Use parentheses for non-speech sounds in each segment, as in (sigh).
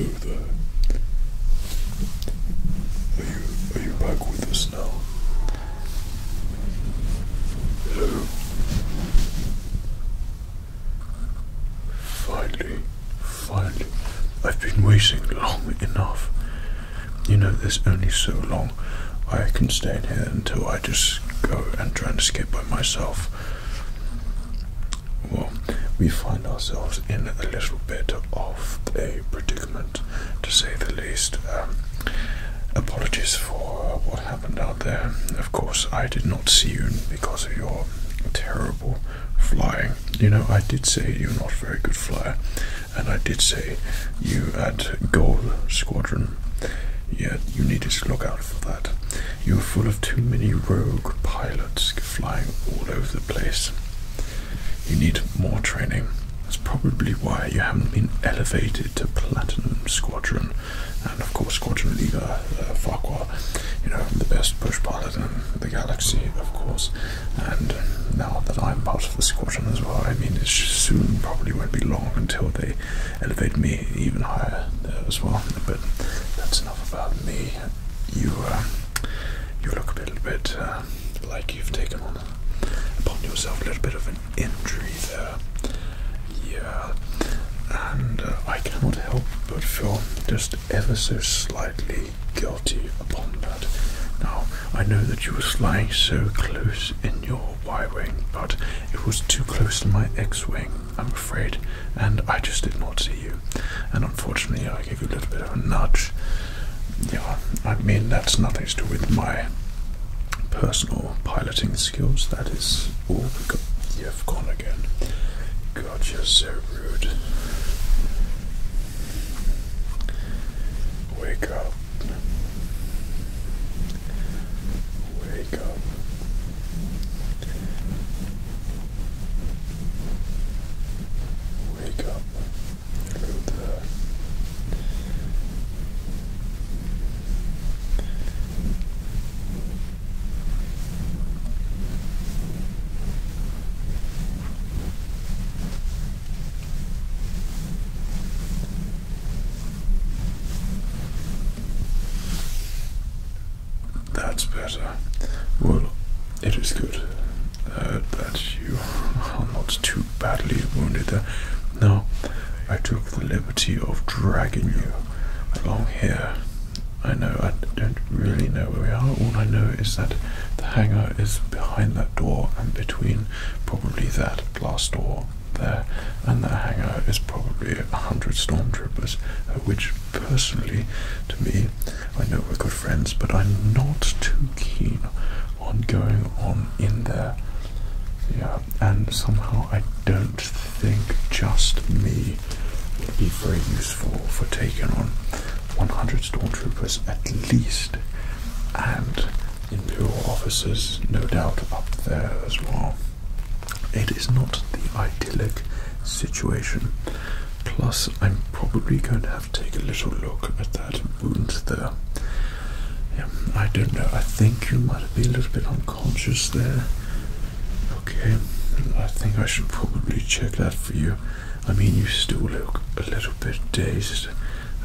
Yo Are you are you back with us now? Hello. Finally, finally. I've been waiting long enough. You know, there's only so long I can stay in here until I just go and try and escape by myself. Well, we find ourselves in a little bit of a predicament, to say the least. Um, apologies for what happened out there. Of course, I did not see you because of your terrible flying. You know, I did say you're not a very good flyer, and I did say you at Gold Squadron Yet you need to look out for that. You're full of too many rogue pilots flying all over the place. You need more training. That's probably why you haven't been elevated to Platinum Squadron, and of course Squadron Leader uh, Farquhar. You know, the best push pilot in the galaxy, of course. And now that I'm part of the squadron as well, I mean, it soon probably won't be long until they elevate me even higher there as well. But that's enough about me. You, um, you look a little bit uh, like you've taken upon yourself a little bit of an injury there. Yeah, and uh, I cannot help but feel just ever so slightly guilty upon that. Now I know that you were flying so close in your Y wing, but it was too close to my X wing, I'm afraid, and I just did not see you. And unfortunately, I gave you a little bit of a nudge. Yeah, I mean, that's nothing to do with my personal piloting skills, that is all you've gone again. God, you're so rude. Wake up. Wake up. Wake up. Through the that's better. Well, it is good uh, that you are not too badly wounded there. Now, I took the liberty of dragging you along here. I know, I don't really know where we are. All I know is that the hangar is behind that door and between probably that glass door there, and that hangar is probably a hundred stormtroopers, uh, which personally, to me, I know we're good friends, but I'm not too keen on going on in there. Yeah, and somehow I don't think just me would be very useful for taking on 100 stormtroopers at least, and Imperial offices, no doubt, up there as well. It is not the idyllic situation. Plus, I'm probably going to have to take a little look at that wound there. Yeah, I don't know. I think you might be a little bit unconscious there. Okay, I think I should probably check that for you. I mean, you still look a little bit dazed.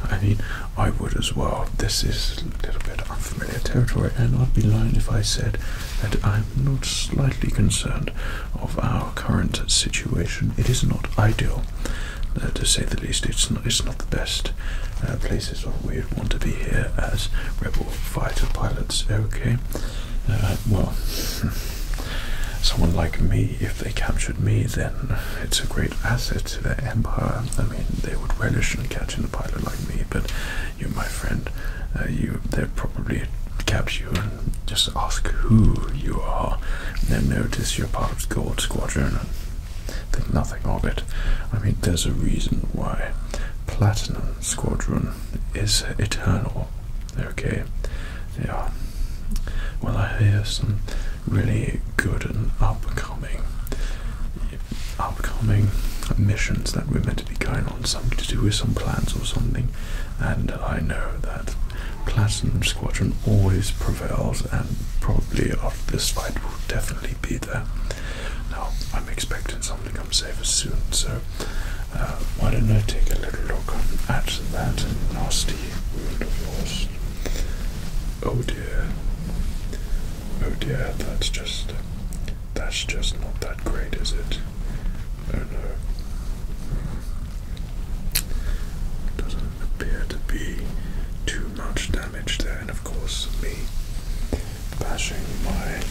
I mean, I would as well. This is a little bit unfamiliar territory, and I'd be lying if I said that I'm not slightly concerned of our current situation. It is not ideal, uh, to say the least. It's not, the best uh, places we'd want to be here as rebel fighter pilots. Okay, uh, well. (laughs) someone like me, if they captured me, then it's a great asset to their empire. I mean, they would relish in catching a pilot like me, but you, my friend, uh, you they'll probably catch you and just ask who you are. And they'll notice you're part of the Gold Squadron and think nothing of it. I mean, there's a reason why Platinum Squadron is eternal. Okay, yeah. Well, I hear some really good and upcoming upcoming missions that we're meant to be going on, something to do with some plans or something. And I know that Platinum Squadron always prevails, and probably after this fight will definitely be there. Now I'm expecting something to come safer soon, so uh, why don't I take a little look at that nasty wound of yours? Oh dear. Oh dear, that's just that's just not that great, is it? Oh no. Doesn't appear to be too much damage there, and of course me bashing my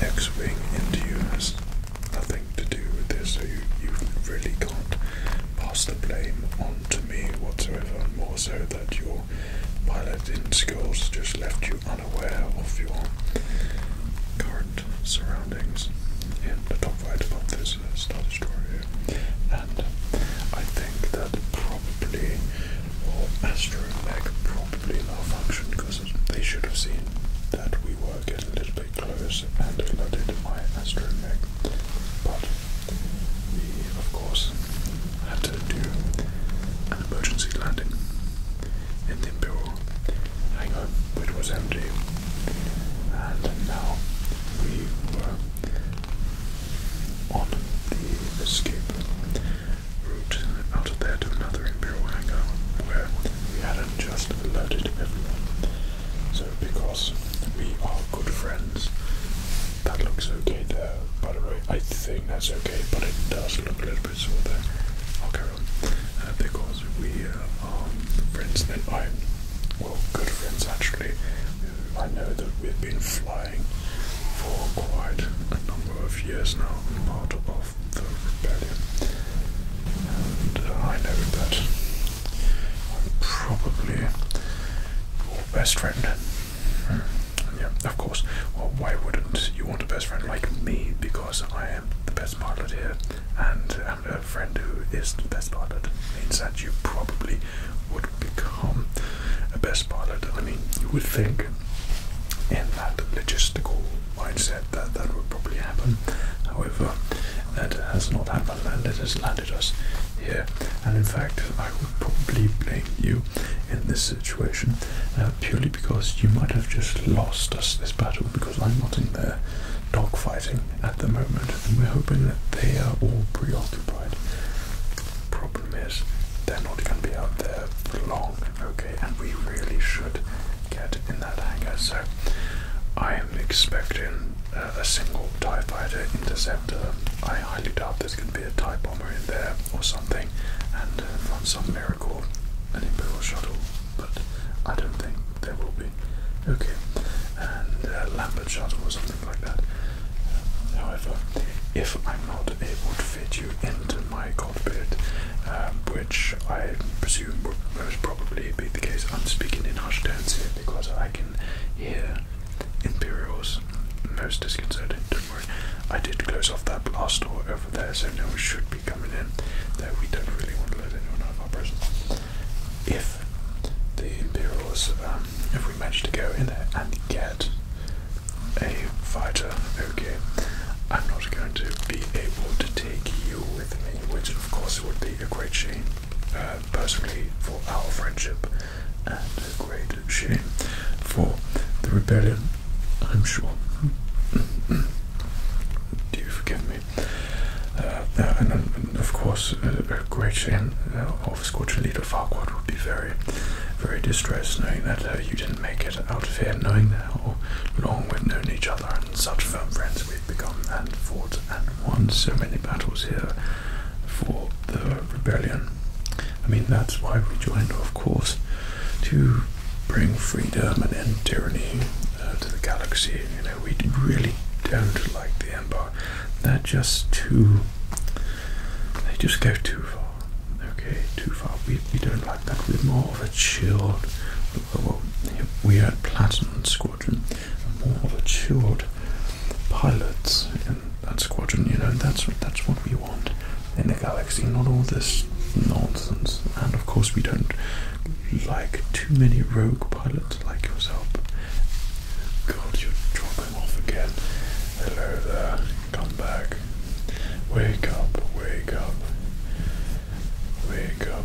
X-wing into you has nothing to do with this, so you you really can't pass the blame onto me whatsoever, more so that your your pilot in schools just left you unaware of your current surroundings in the top right, about this uh, Star Destroyer. And I think that probably, or Astromech probably malfunctioned because they should have seen that we were getting a little bit close and loaded my Astromech. But of course, I have to do an emergency landing in the Imperial hangar, which was empty, and now we were on the escape route out of there to another Imperial hangar where we hadn't just alerted everyone. So, because we are good friends, that looks okay there, by the way. I think that's okay, but it does look a little bit sore there. i uh, because we uh, are friends that I, well, good friends actually. I know that we've been flying for quite a number of years now, part of the rebellion. And uh, I know that I'm probably your best friend yeah, of course. Well, why wouldn't you want a best friend like me? Because I am the best pilot here, and I'm a friend who is the best pilot. Means that you probably would become a best pilot. I mean, you would think in that logistical mindset that that would probably happen. However, that has not happened, and it has landed us here. And in fact, I would probably blame you in this situation uh, purely because you might have just lost us this battle because I'm not in there dogfighting at the moment and we're hoping that they are all preoccupied. Problem is, they're not going to be out there for long, okay, and we really should get in that hangar. So I am expecting uh, a single TIE fighter interceptor. I highly doubt there's going to be a TIE dive in there or something and uh, from some miracle an Imperial shuttle, but I don't think there will be. Okay, and uh, Lambert shuttle or something like that. however, if I'm not able to fit you into my cockpit, um, which I presume would most probably be the case, I'm speaking in hushed tones here because I can hear Imperials, most disconcerted, don't worry. I did close off that last door over there, so no one should be coming in. Though we don't really want to let anyone out If the Imperials, um, if we manage to go in there and get a fighter, okay, I'm not going to be able to take you with me, which of course would be a great shame, uh, personally, for our friendship and a great shame for the rebellion, I'm sure. Do you forgive me? Uh, and, of course, uh, a, great shame uh, of Scorching Leader Farquaad would be very, very distressed knowing that uh, you didn't make it out of here, knowing how long we've known each other and such firm friends we've become and fought and won so many battles here for the rebellion. I mean, that's why we joined, of course, to bring freedom and end tyranny uh, to the galaxy. You know, we really don't like the Empire. They're just too. They just go too far. Okay, too far. We, we don't like that. We're more of a chilled. Well, we are at Platinum Squadron, more of a chilled pilots that squadron. You know, that's that's what we want in the galaxy. Not all this nonsense. And of course, we don't like too many rogue pilots like yourself. God, you're dropping off again. Hello there. Come back. Wake up. Wake up. Wake up.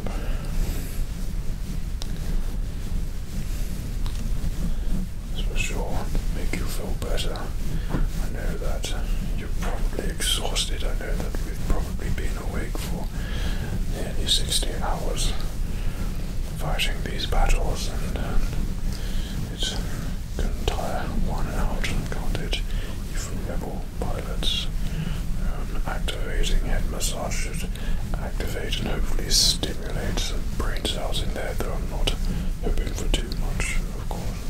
This for sure make you feel better. I know that you're probably exhausted. I know that we've probably been awake for nearly 16 hours fighting these battles and um, it can tire one out, can't it? Even rebel pilots um, activating head massage should activate and hopefully stimulate stimulates brain cells in there, though I'm not hoping for too much, of course.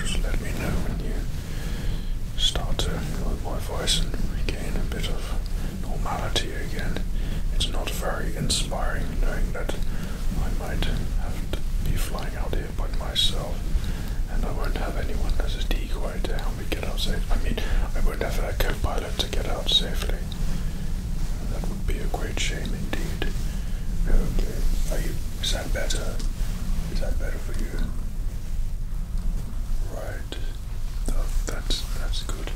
Just let me know when you start to hear my voice and regain a bit of normality again. It's not very inspiring knowing that I might have to be flying out here by myself and I won't have anyone as a decoy to we get out safe. I mean, I would have a co-pilot to get out safely. That would be a great shame indeed. Okay, are you? Is that better? Is that better for you? Right. That, oh, that's that's good.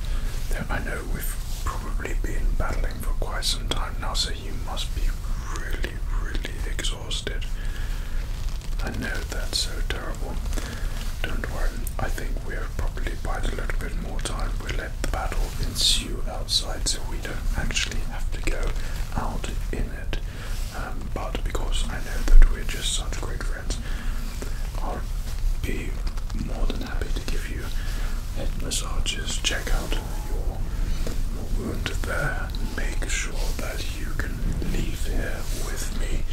I know we've probably been battling for quite some time now, so you must be really, really exhausted. I know that's so terrible. Don't worry, I think we'll probably bide a little bit more time. We'll let the battle ensue outside so we don't actually have to go out in it. Um, but because I know that we're just such great friends, I'll be more than happy to give you head massages. Check out your, your wound there and make sure that you can leave here with me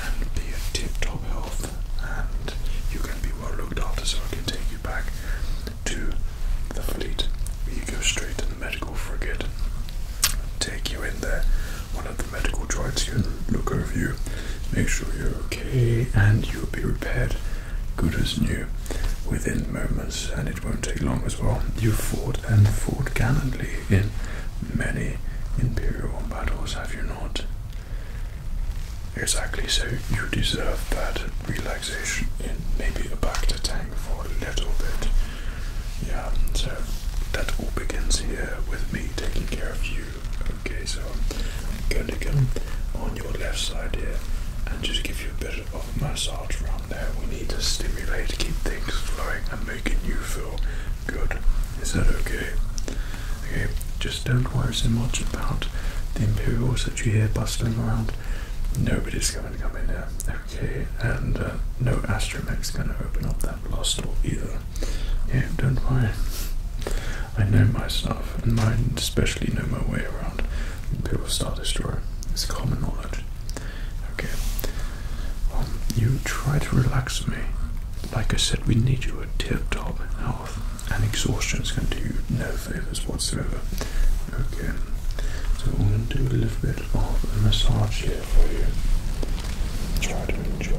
and be in tip-top health and you can be well looked after so I can take you back to the fleet. You go straight to the medical frigate, take you in there, one of the medical droids can look over you, make sure you're okay and you'll be repaired good as new within moments and it won't take long as well. You fought and fought gallantly in many imperial battles, have you not? Exactly, so you deserve that relaxation in maybe a back to tank for a little bit. Yeah, so that all begins here with me taking care of you. Okay, so I'm going to come on your left side here and just give you a bit of massage around there. We need to stimulate, keep things flowing making you feel good. Is that okay? Okay, just don't worry so much about the Imperials that you hear bustling around. Nobody's going to come in here, okay? And uh, no Astromech's going to open up that blast door either. Yeah, don't worry. I know my stuff, and I especially know my way around the Imperial Star Destroyer. It's common knowledge. Okay. Um, you try to relax me. Like I said, we need you at tip top health, and exhaustion is going to do you no favors whatsoever. Okay. So I'm going to do a little bit of a massage here for you. Try to enjoy.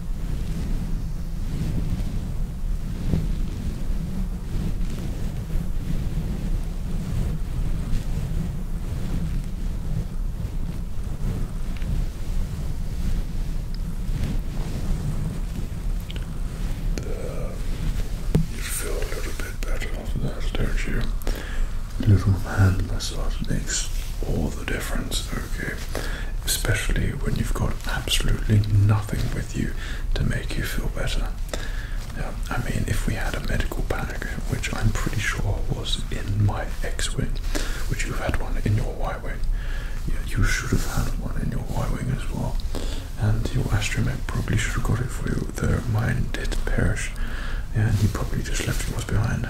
you feel a little bit better after that, don't you? A little hand massage makes all the difference, Especially when you've got absolutely nothing with you to make you feel better. Yeah, I mean, if we had a medical bag, which I'm pretty sure was in my X-wing, which you've had one in your Y-wing, yeah, you should have had one in your Y-wing as well, and your astromech probably should have got it for you, though mine did perish, and he probably just left yours behind.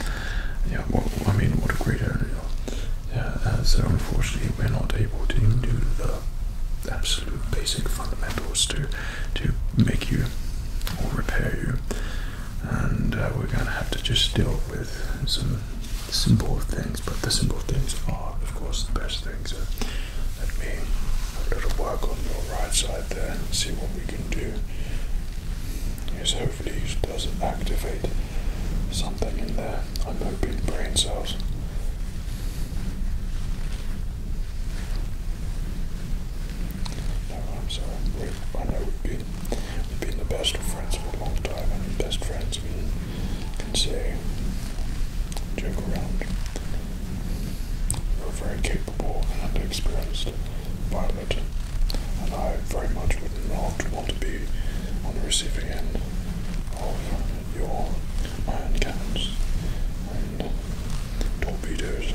(laughs) yeah, well, I mean, what a great area. Yeah, uh, so unfortunately we're not able to do the absolute basic fundamentals to to make you or repair you, and uh, we're going to have to just deal with some simple things. But the simple things are, of course, the best things. So let me a little work on your right side there and see what we can do. Yes, hopefully you does activate something in there. I'm hoping brain cells. No, I'm sorry. We, I know we've been, we've been the best of friends for a long time, and best friends we can say, joke around. You're very capable and experienced pilot, and I very much would not want to be on the receiving end of your iron cannons and torpedoes.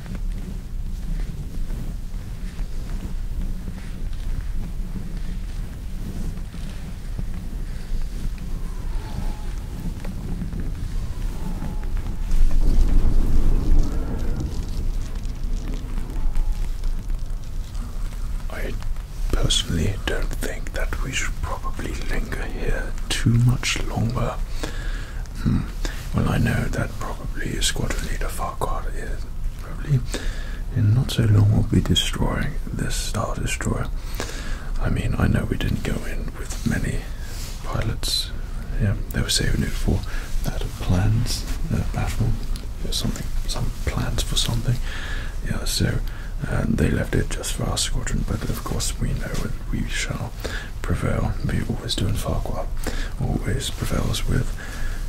I personally don't think that we should probably linger here too much longer. Hmm. Well, I know that probably Squadron Leader Farquhar is probably in not so long will be destroying this Star Destroyer. I mean, I know we didn't go in with many pilots. Yeah, they were saving it for that plans uh, battle, or something, some plans for something. Yeah, so they left it just for our squadron, but of course we know that we shall prevail. be always doing in Farquhar. Always prevails with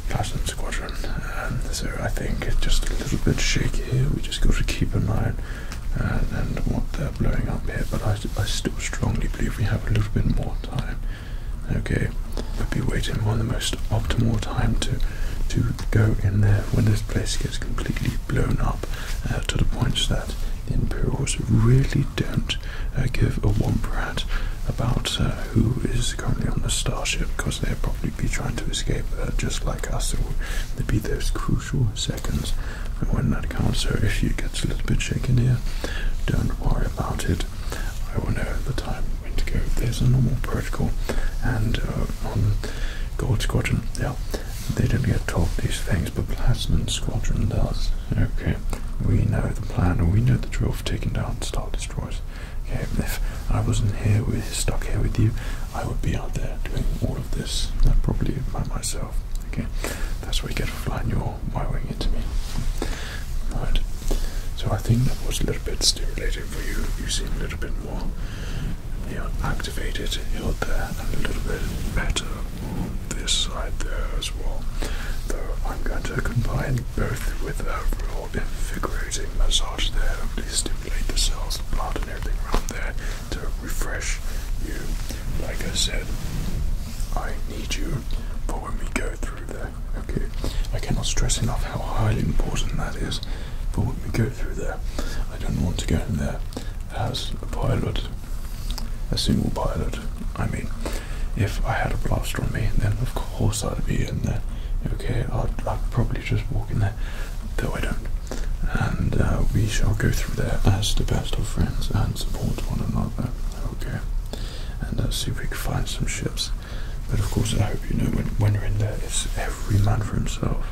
Platinum Squadron. so I think it's just a little bit shaky here. We just got to keep an eye on uh, and what they're blowing up here. But I, I still strongly believe we have a little bit more time. Okay, we'll be waiting for the most optimal time to to go in there when this place gets completely blown up uh, to the point that the Imperials really don't uh, give a womp about uh, who is currently on the starship because they'll probably be trying to escape uh, just like us. So there'll be those crucial seconds when that counts. So if you get a little bit shaken here, don't worry about it. I will know the time when to go. There's a normal protocol, and on Gold Squadron, yeah, they don't get taught these things, but Platinum Squadron does. Okay, we know the plan, and we know the drill for taking down Star Destroyers. Okay, if I wasn't here, with, stuck here with you, I would be out there doing all of this, uh, probably by myself. Okay, that's why you get for flying your Y-wing into me. Right. So I think that was a little bit stimulating for you. You seem a little bit more, you know, activated, you're there, and a little bit better this side there as well. Though I'm going to combine both with a real invigorating massage there, to stimulate the cells, the blood, and everything around there to refresh you. Like I said, I need you for when we go through there. Okay, I cannot stress enough how highly important that is. But when we go through there, I don't want to go in there as a pilot a single pilot. I mean, if I had a blaster on me, then of course I'd be in there. Okay, I'd, probably just walk in there, though I don't. And uh, we shall go through there as the best of friends and support one another. Okay, and let's uh, see if we can find some ships. But of course, I hope you know when, when you're in there, it's every man for himself.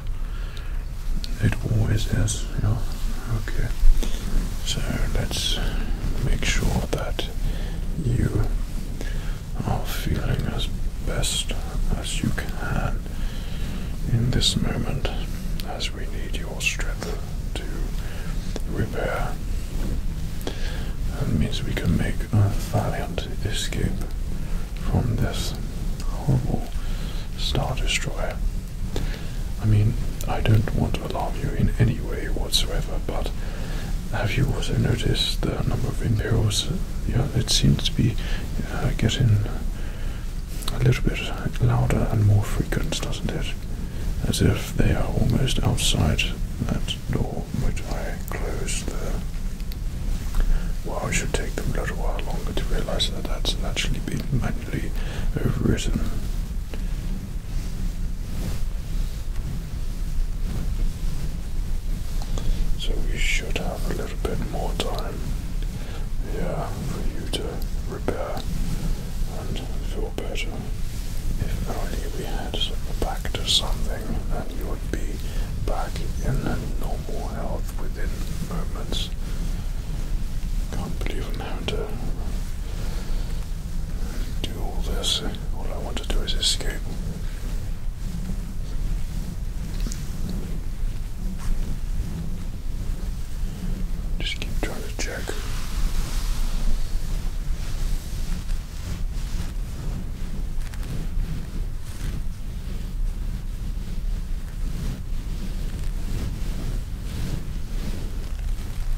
It always is yes, okay. So let's make sure that you are feeling as best as you can in this moment, as we need your strength to repair. That means we can make a valiant escape from this horrible Star Destroyer. I mean, I don't want to alarm you in any way whatsoever, but have you also noticed the number of Imperials? it seems to be uh, getting a little bit louder and more frequent, doesn't it? As if they are almost outside that door which I closed Well, it should take them a little while longer to realize that that's actually been manually overwritten. So we should have a little bit more time, yeah, for you to repair and feel better. If only we had back to something, and you would be back in normal health within moments. Can't believe i and uh, do all this. All I want to do is escape. Just keep trying to check.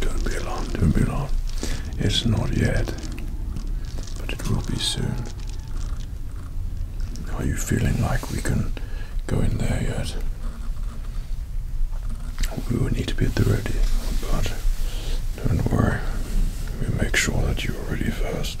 don't be alarmed, don't be alarmed. It's not yet but it will be soon. Are you feeling like we can go in there yet? We will need to be at the ready, but don't worry, we make sure that you are ready first.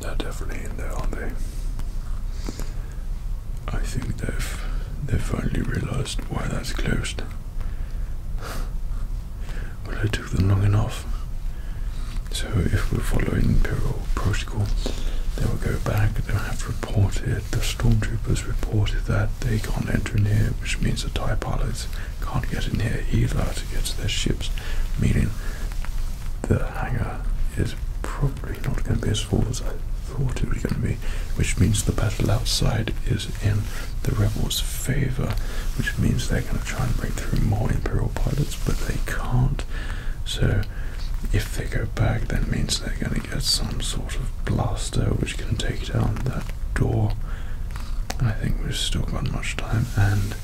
They're definitely in there, aren't they? I think they've they finally realized why that's closed. well, it took them long enough. So if we're following imperial protocol, they will go back. They'll have to report it the stormtroopers reported that they can't enter in here, which means the TIE pilots can't get in here either to get to their ships, meaning the hangar is probably not going to be as full as I thought it was going to be, which means the battle outside is in the rebels' favour, which means they're going to try and bring through more Imperial pilots, but they can't. So if they go back, that means they're going to get some sort of blaster which can take down that door. I think we've still got much time, and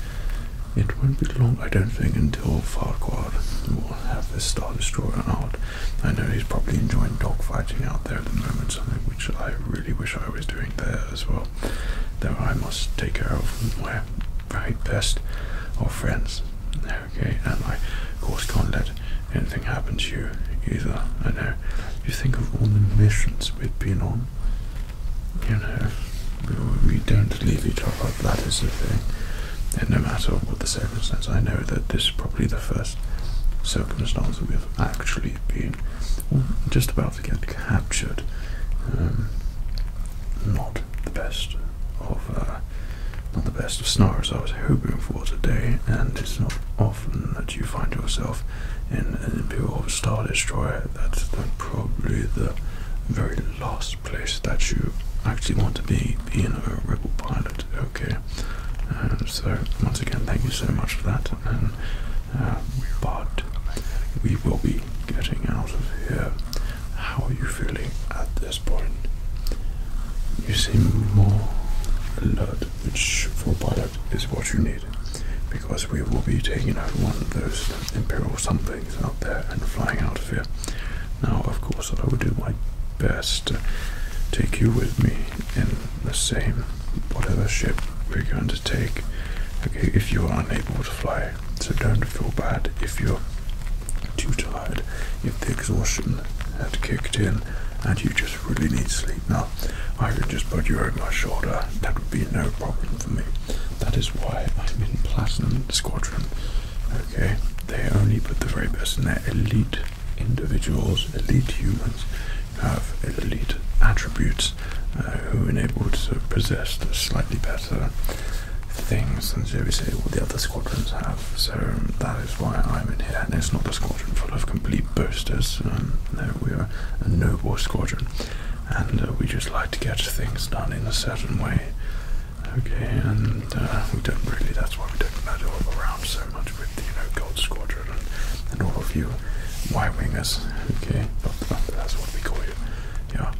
it won't be long, I don't think, until Farquhar will have his Star Destroyer out. I know he's probably enjoying dogfighting out there at the moment, something which I really wish I was doing there as well. Though I must take care of my very best of friends okay? And I, of course, can't let anything happen to you either. I know. You think of all the missions we've been on. You know, we, don't leave each other. That is the thing. And no matter what the circumstances, I know that this is probably the first circumstance that we've actually been just about to get captured. Um, not the best of. Uh, not the best of snars I was hoping for today, and it's not often that you find yourself in an Imperial Star Destroyer. That's probably the very last place that you actually want to be, being a rebel pilot. Okay, and uh, so once again, thank you so much for that. And uh, but we will be getting out of here. How are you feeling at this point. You seem more alert, which for pilot is what you need, because we will be taking out one of those imperial somethings out there and flying out of here. Now, of course, I will do my best to take you with me in the same whatever ship we're going to take. Okay, if you are unable to fly, so don't feel bad if you're too tired if the exhaustion had kicked in and you just really need sleep now, I could just put you over my shoulder. That would be no problem for me. That is why I'm in Platinum Squadron. Okay, they only put the very best in there. Elite individuals, elite humans have elite attributes uh, who are enabled to possess slightly better things than, say, all the other squadrons have so that is why I'm in here. it's not a squadron full of complete boasters. Um, no, we are a noble squadron, and uh, we just like to get things done in a certain way. Okay, and uh, we don't really. That's why we don't meddle around so much with the, you know Gold Squadron and, and all of you Y-wingers. Okay, but uh, that's what we call you. Yeah,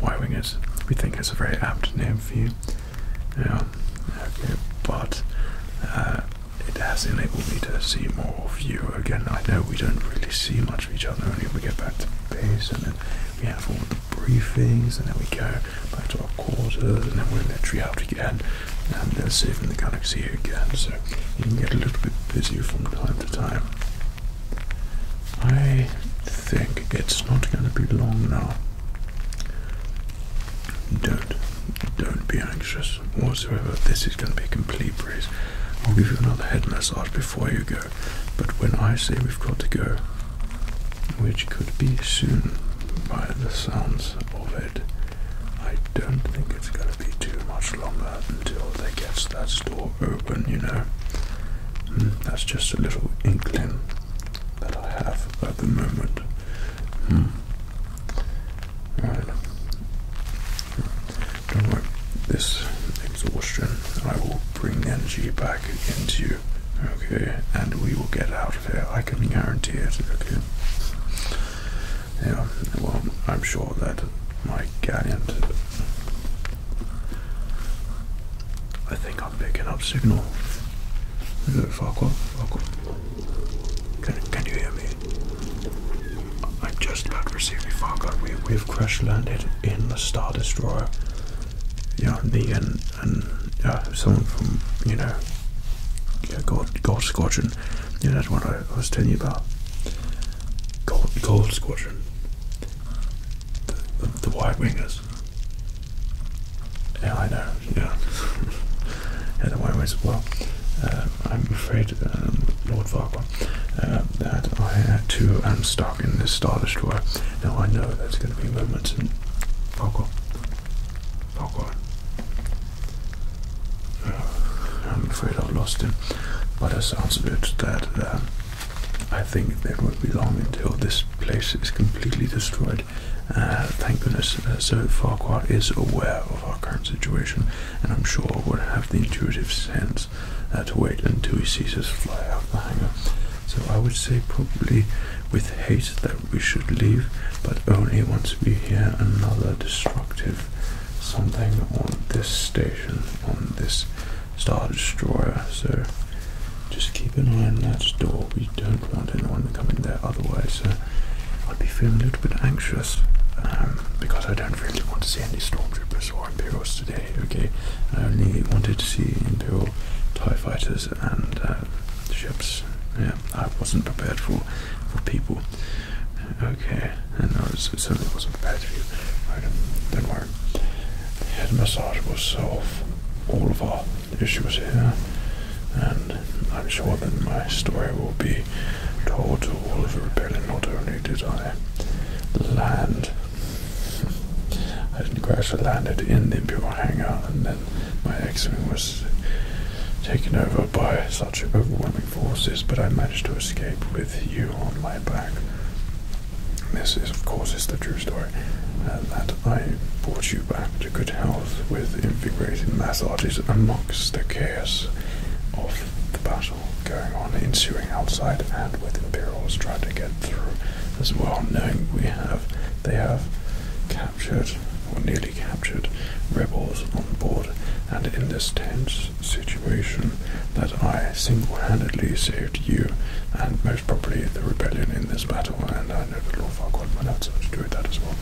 Y-wingers. We think it's a very apt name for you. Yeah, okay, but uh, it has enabled me to see more of you again. I know we don't really see much of each other only we get back to base and then we have all the briefings and then we go back to our quarters and then we're in the out again and they're saving the galaxy again. So you can get a little bit busier from time to time. I think it's not going to be long now. Don't, don't be anxious whatsoever. This is going to be a complete breeze. I'll give you another head massage before you go. But when I say we've got to go, which could be soon by the sounds of it, I don't think it's going to be too much longer until they get that store open, you know. Hmm, that's just a little inkling that I have at the moment. Hmm. Don't worry, this exhaustion, I will bring energy back into you, okay? And we will get out of here, I can guarantee it, okay? Yeah, well, I'm sure that my gallant. I think picking up signal. Hello, Farquhar. Can, you hear me? I'm just about receiving Farquhar. We, we've crash landed in the Star Destroyer. Yeah, me and, and uh, someone from, you know, yeah, Gold, Gold Squadron. Yeah, that's what I, was telling you about. Gold, Gold Squadron. the White Wingers. Yeah, I know. Yeah, yeah, don't worry. Well, uh, I'm afraid, um, Lord Farquhar, that I had to am um, stuck in this Star Destroyer. Now I know there's going to be moments in Farquhar. Farquhar. I'm afraid I've lost him, but it sounds a bit that um, I think it won't be long until this place is completely destroyed uh, thank goodness that uh, Sir Farquhar is aware of our current situation, and I'm sure would have the intuitive sense uh, to wait until he sees us fly out the hangar. So I would say probably with haste that we should leave, but only once we hear another destructive something on this station, on this Star Destroyer. So just keep an eye on that door. We don't want anyone to come in there otherwise. I'd be feeling a little bit anxious um, because I don't really want to see any stormtroopers or Imperials today, okay? I only wanted to see Imperial TIE fighters and uh, ships. Yeah, I wasn't prepared for, for people. Okay, and I certainly wasn't prepared for you. don't worry. The head massage will all of our issues here, and I'm sure that my story will be told to all of the rebellion. Not only did I land, I didn't crash landed in the Imperial hangar, and then my X-wing was taken over by such overwhelming forces, but I managed to escape with you on my back. This is, of course, is the true story, uh, that I brought you back to good health with invigorating massages amongst the chaos of the battle going on, ensuing outside and with Imperials trying to get through as well, knowing we have they have captured or nearly captured rebels on board and in this tense situation that I single-handedly saved you and most probably the rebellion in this battle and I know the Lawfar God, my lad, so I should do that as well.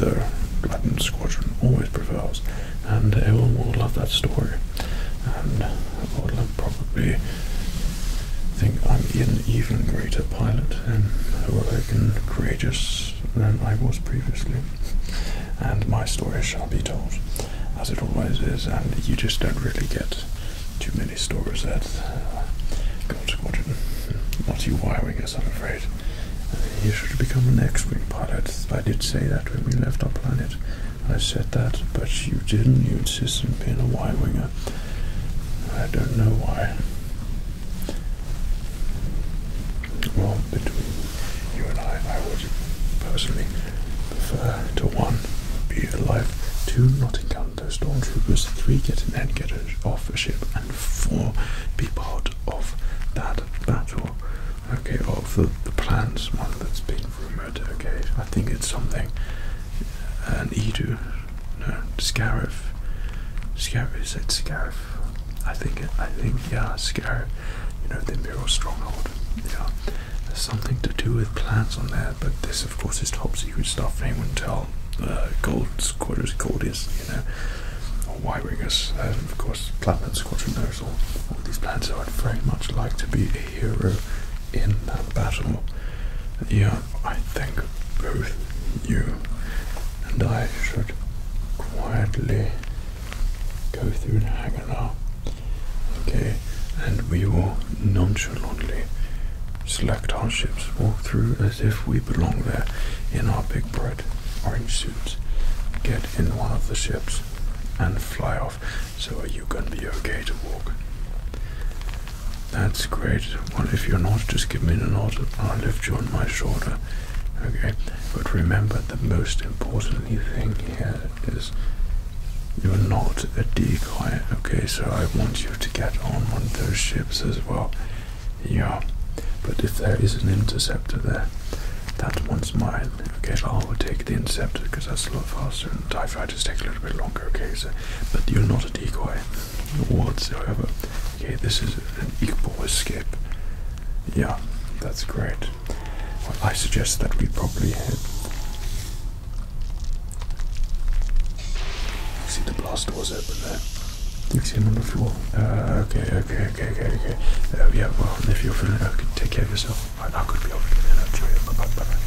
the glutton Squadron always prevails, and everyone will love that story. And I'll probably think I'm an even greater pilot and heroic and courageous than I was previously. And my story shall be told, as it always is, and you just don't really get too many stories that uh, Gold Squadron. Not you wiring I'm afraid. You should become an X-wing pilot. I did say that when we left our planet. I said that, but you didn't. You insisted on being a Y-winger. I don't know why. Well, between you and I, I would personally prefer to one, be alive, to not encounter those stormtroopers, three getting headgetters off the ship, and four be part of that battle. Okay, of the, the plans one that's been rumored. Okay, I think it's something. Uh, an Edo, no, Scarif. Scarif is it Scarif? I think it. I think yeah, Scarif. You know the Imperial stronghold. Yeah, something to do with plants on there, but this of course, is top secret stuff. They wouldn't tell uh, Gold Squadron Gold is, you know, or Y Wingers. Um, of course, Platinum Squadron knows all, these plans, so I'd very much like to be a hero in that battle. Yeah, I think both you and I should quietly go through the hangar now. Okay, and we will nonchalantly Select our ships. walk through as if we belong there in our big bright orange suits. Get in one of the ships and fly off. So are you gonna be okay to walk? That's great. Well, if you're not, just give me a nod and I'll lift you on my shoulder. Okay, but remember the most important thing here is you're not a decoy. Okay, so I want to get on one of those ships as well. Yeah, but if there is an interceptor there, that one's mine. Okay, I will take the interceptor because that's a lot faster and TIE fighters take a little bit longer. Okay, so, but you're not a decoy whatsoever. Okay, this is an equal escape. Yeah, that's great. Well, I suggest that we probably head you see the blast doors open there. You can see them on the floor. okay, okay, okay, okay, okay. yeah, well, if you're feeling okay, take care of yourself. I, am gonna be over again. Uh, cheerio. Bye bye. bye, -bye.